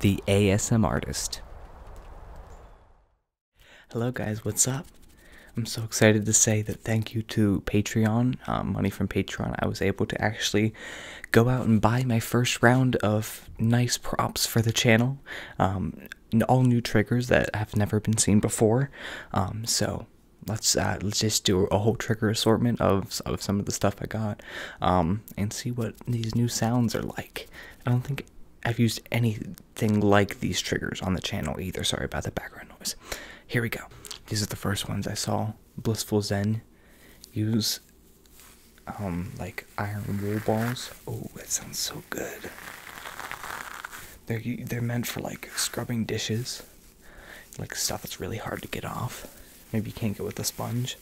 The ASM Artist. Hello, guys, what's up? I'm so excited to say that thank you to Patreon, uh, money from Patreon. I was able to actually go out and buy my first round of nice props for the channel. Um, all new triggers that have never been seen before. Um, so let's uh, let's just do a whole trigger assortment of of some of the stuff I got. Um, and see what these new sounds are like. I don't think I've used anything like these triggers on the channel either. Sorry about the background noise. Here we go. These are the first ones I saw Blissful Zen use, um, like iron wool balls. Oh, that sounds so good. They're they're meant for like scrubbing dishes, like stuff that's really hard to get off. Maybe you can't go with a sponge.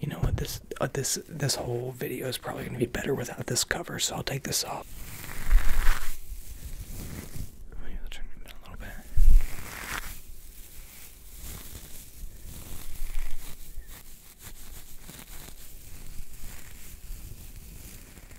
You know what? This uh, this this whole video is probably gonna be better without this cover, so I'll take this off. Maybe i turn it down a little bit.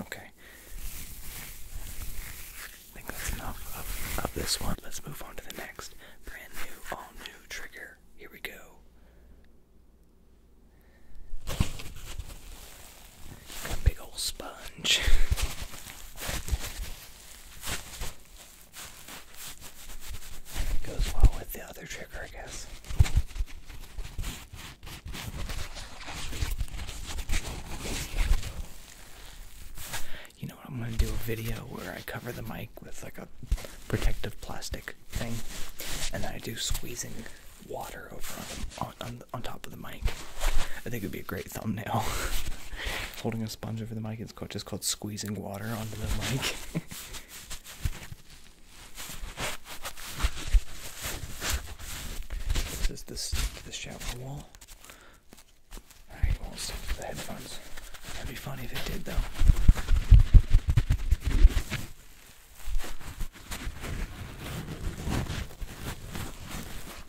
Okay. I think that's enough of, this one. Let's move on to the next. Brand new, all new trigger. Here we go. Got a big old sponge. It goes well with the other trigger, I guess. You know what? I'm going to do a video where I cover the mic with like a protective plastic thing and then I do squeezing water over on, on, on top of the mic. I think it would be a great thumbnail. holding a sponge over the mic. It's called, just called squeezing water onto the mic. this is this the shower wall. Alright, it will the headphones. That'd be funny if it did though.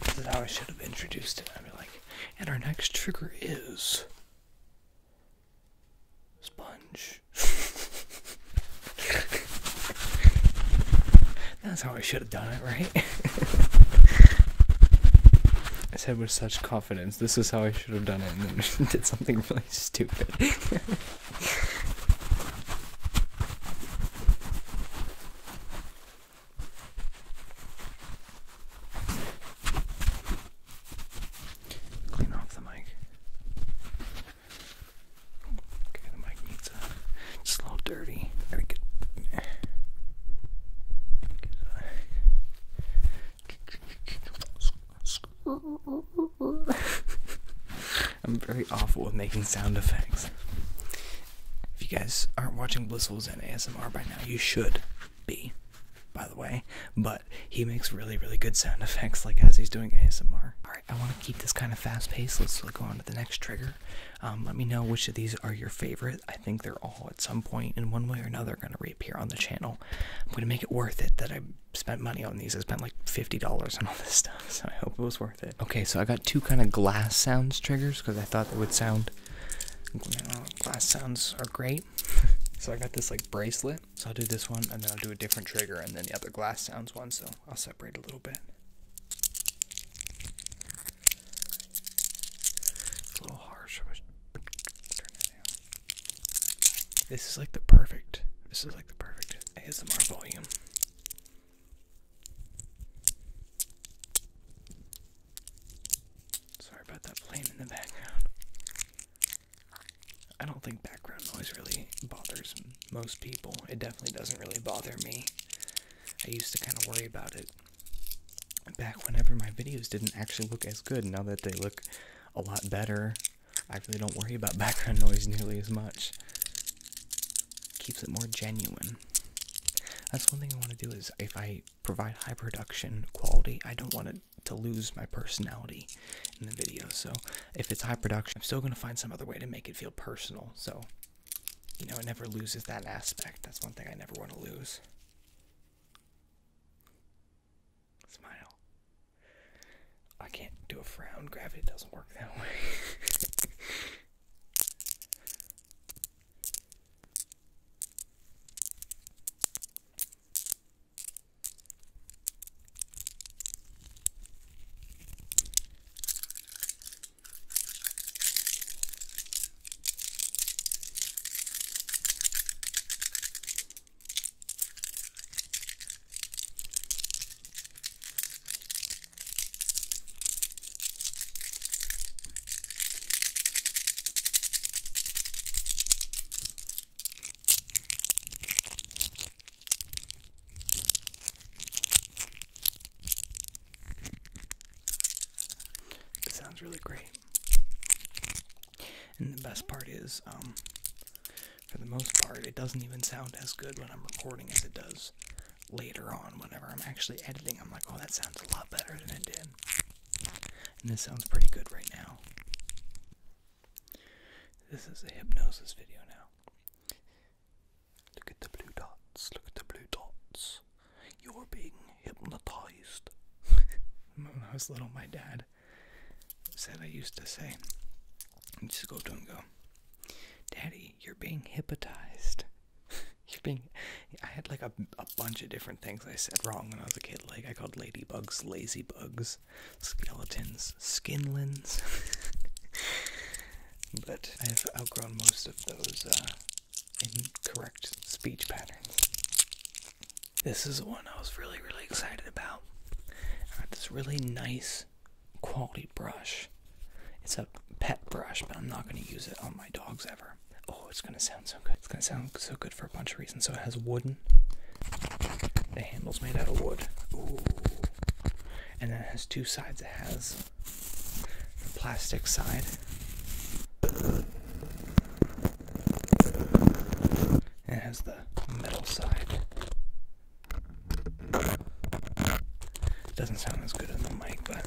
This is how I should have introduced it. I'd be like, and our next trigger is sponge. That's how I should have done it, right? I said with such confidence. This is how I should have done it, and then did something really stupid. Clean off the mic. Okay, the mic needs a. It's dirty. Gotta get. I'm very awful with making sound effects. If you guys aren't watching Blissful's and ASMR by now, you should be, by the way. But he makes really, really good sound effects, like as he's doing ASMR. Alright, I want to keep this kind of fast paced. Let's go on to the next trigger. Um, let me know which of these are your favorite. I think they're all at some point, in one way or another, going to reappear on the channel. I'm gonna make it worth it that I spent money on these. I spent like fifty dollars on all this stuff, so I hope it was worth it. Okay, so I got two kind of glass sounds triggers because I thought they would sound. Glass sounds are great. so I got this like bracelet. So I'll do this one, and then I'll do a different trigger, and then the other glass sounds one. So I'll separate a little bit. a little harsh. This is like the perfect. This is like the perfect ASMR volume. Sorry about that plane in the background. I don't think background noise really bothers most people. It definitely doesn't really bother me. I used to kind of worry about it back whenever my videos didn't actually look as good. Now that they look a lot better, I really don't worry about background noise nearly as much. Keeps it more genuine. That's one thing I want to do is if I provide high production quality, I don't want to to lose my personality in the video. So if it's high production, I'm still going to find some other way to make it feel personal. So, you know, it never loses that aspect. That's one thing I never want to lose. Smile. I can't do a frown. Gravity doesn't work that way. It sounds really great. And the best part is, um, for the most part, it doesn't even sound as good when I'm recording as it does later on. Whenever I'm actually editing, I'm like, oh, that sounds a lot better than it did. And this sounds pretty good right now. This is a hypnosis video now. Look at the blue dots, look at the blue dots. You're being hypnotized. when I was little, my dad said I used to say, I just go to and go, Daddy, you're being hypnotized. you're being. I had like a, bunch of different things I said wrong when I was a kid. Like I called ladybugs lazy bugs, skeletons skinlins. but I have outgrown most of those uh, incorrect speech patterns. This is the one I was really, really excited about. I got this really nice quality brush. It's a pet brush, but I'm not going to use it on my dogs ever. Oh, it's going to sound so good. It's going to sound so good for a bunch of reasons. So it has wooden. The handle's made out of wood. Ooh. And then it has two sides. It has the plastic side. It has the metal side. It doesn't sound as good on the mic, but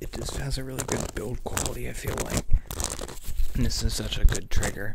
It just has a really good build quality, I feel like. This is such a good trigger.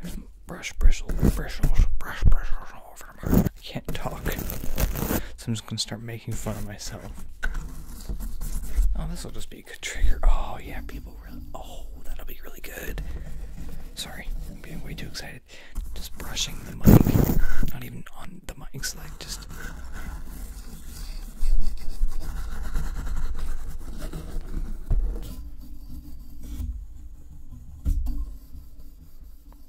There's some brush bristles, bristles, brush bristles all over my I can't talk. So I'm just gonna start making fun of myself. Oh, this will just be a good trigger. Oh, yeah, people really. Oh, that'll be really good. Sorry, I'm being way too excited. Just brushing the mic. Not even on the mics, like, just.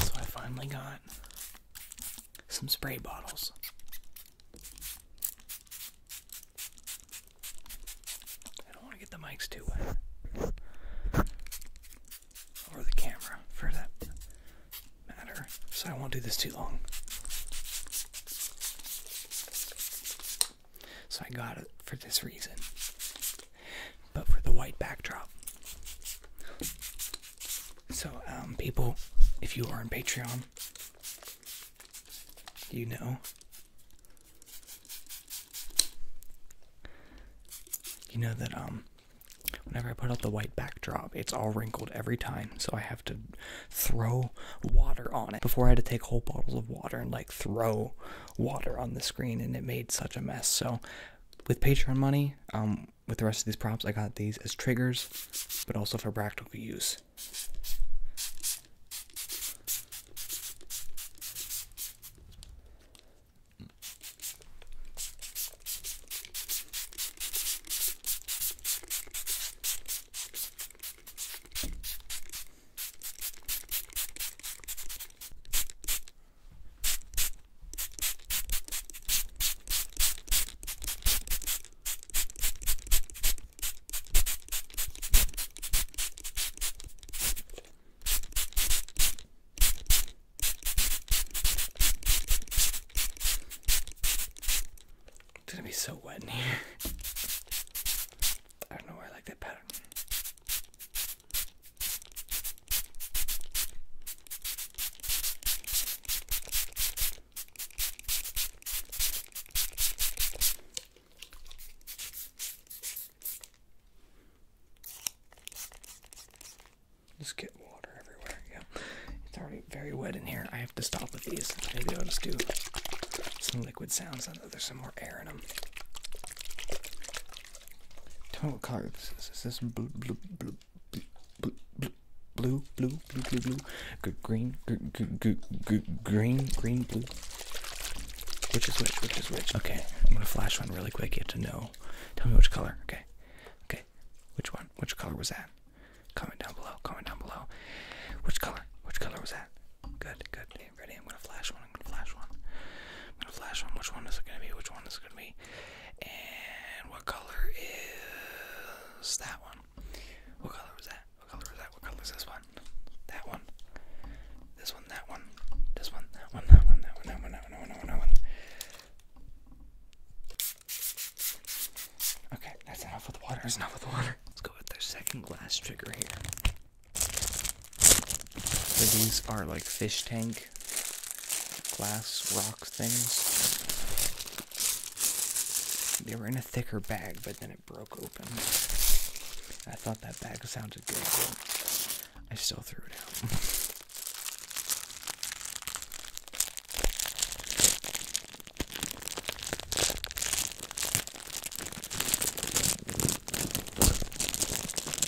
So I finally got some spray bottles. I don't want to get the mics too wet. Or the camera, for that matter. So I won't do this too long. So I got it for this reason. But for the white backdrop. So, um, people, if you are on Patreon, you know. You know that, um, whenever I put out the white backdrop, it's all wrinkled every time, so I have to throw water on it. Before I had to take whole bottles of water and, like, throw water on the screen, and it made such a mess. So, with Patreon money, um, with the rest of these props, I got these as triggers, but also for practical use. It's gonna be so wet in here. I don't know why I like that pattern. Just get water everywhere. Yeah, it's already very wet in here. I have to stop with these. Maybe I'll just do some liquid sounds. I know there's some more air in them. Tell me what color this is. Is this blue, blue, blue, blue, blue, blue, blue, blue, blue, blue, blue green, green, green, green, blue? Which is which? Which is which? Okay, I'm gonna flash one really quick. You have to know. Tell me which color. Okay, okay. Which one? Which color was that? Comment down below. Comment down below. Which color? Which color was that? Good, good. Ready? I'm gonna flash one. I'm gonna flash one. I'm gonna flash one. Which one is it gonna be? Which one is it gonna be? And what color is that one? What color was that? What color was that? What color is this one? That one. This one, that one. This one, that one, that one, that one, that one, that one, that one, that one, that one. Okay, that's enough with the water. That's enough with the water. Let's go with the second glass trigger here. So these are like fish tank glass rock things. They were in a thicker bag, but then it broke open. I thought that bag sounded good, I still threw it out.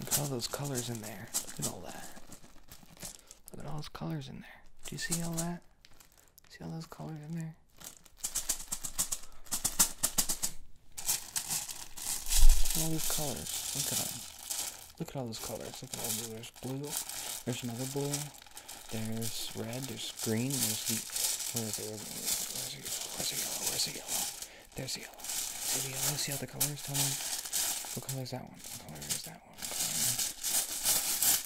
Look at all those colors in there. Look at all that. Look at all those colors in there. Do you see all that? See all those colors in there? all these colors. Look at them. Look at all those colors. Look at all these. There's blue. There's another blue. There's red. There's green. There's the where the where's the yellow? Where's the yellow? Where's the yellow? There's the yellow. There's the yellow. See how the colors tell me. What color is that one? What color is that one?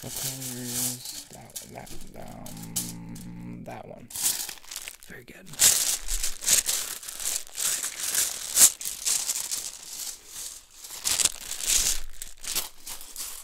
What color is that one? that um that one? Very good.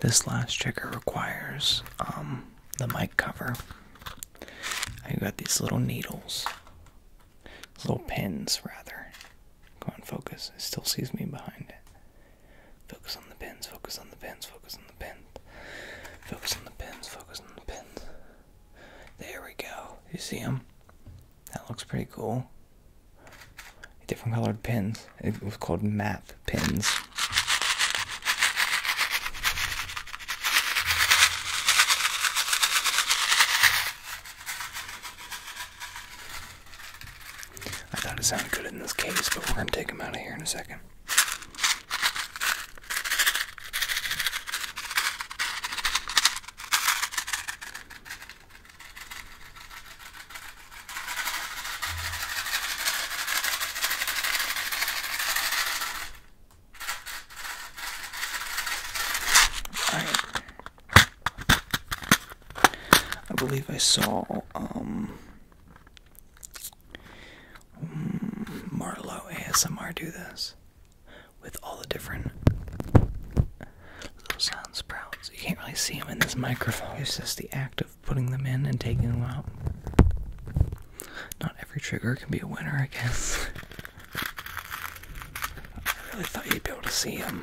This last checker requires um, the mic cover. I have got these little needles little pins, rather. Go on, focus. It still sees me behind it. Focus on the pins, focus on the pins, focus on the pins. Focus on the pins, focus on the pins. There we go. You see them? That looks pretty cool. Different colored pins. It was called map pins. I thought it sounded good in this case, but we're going to take them out of here in a second. I, believe I saw um, Marlow ASMR do this with all the different little sound sprouts. You can't really see them in this microphone. It's just the act of putting them in and taking them out. Not every trigger can be a winner, I guess. I really thought you'd be able to see them. Um,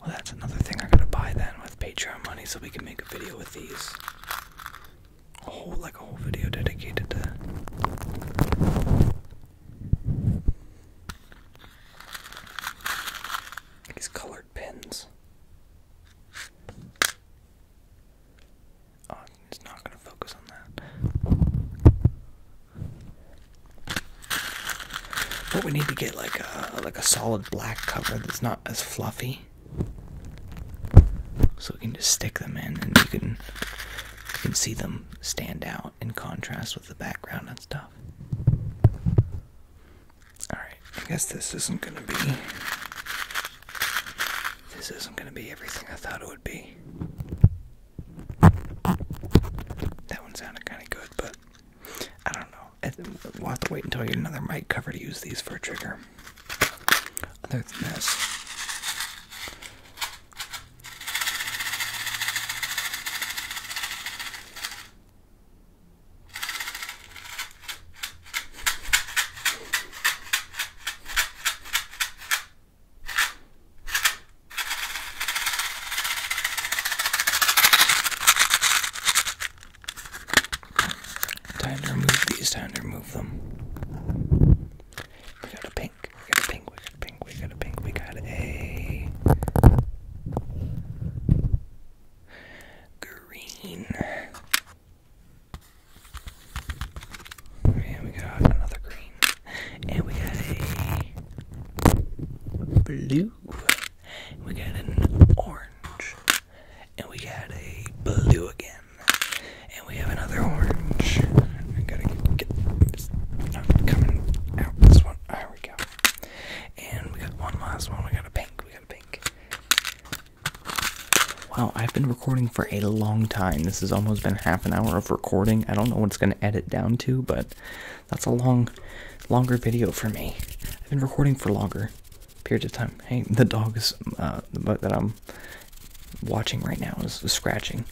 well, that's another thing I am going to buy then with Patreon money so we can make a video with these. A like a whole video dedicated to. These colored pins. Oh, it's not going to focus on that. But we need to get like a like a solid black cover that's not as fluffy, so we can just stick them in, and you can you can see them stand out in contrast with the background and stuff. All right, I guess this isn't gonna be. This isn't gonna be everything I thought it would be. That one sounded kind of good, but I don't know. We'll have to wait until I get another mic cover to use these for a trigger. Other than this, Time to remove these, time to remove them. We got a pink, we got a pink, we got a pink, we got a pink, we got a green. And we got another green. And we got a blue. We got an orange. And we got a blue again. And we have another orange. I gotta get this not coming out. This one. There we go. And we got one last one. We got a pink. We got a pink. Wow, I've been recording for a long time. This has almost been half an hour of recording. I don't know what it's going to edit down to, but that's a long, longer video for me. I've been recording for longer periods of time. Hey, the dog is, uh, the bug that I'm watching right now is, scratching.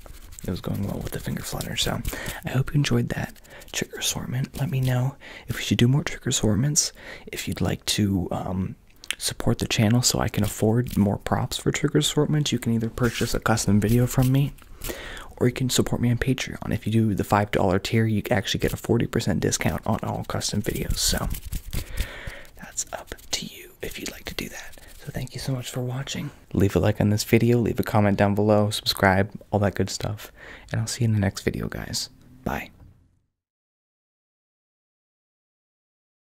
It was going well with the finger flutter, so I hope you enjoyed that trick assortment. Let me know if we should do more trick assortments. If you'd like to um, support the channel so I can afford more props for trigger assortments, you can either purchase a custom video from me or you can support me on Patreon. If you do the $5 tier, you actually get a 40% discount on all custom videos. So that's up to you if you'd like to do that. So thank you so much for watching. Leave a like on this video, leave a comment down below, subscribe, all that good stuff. And I'll see you in the next video, guys. Bye.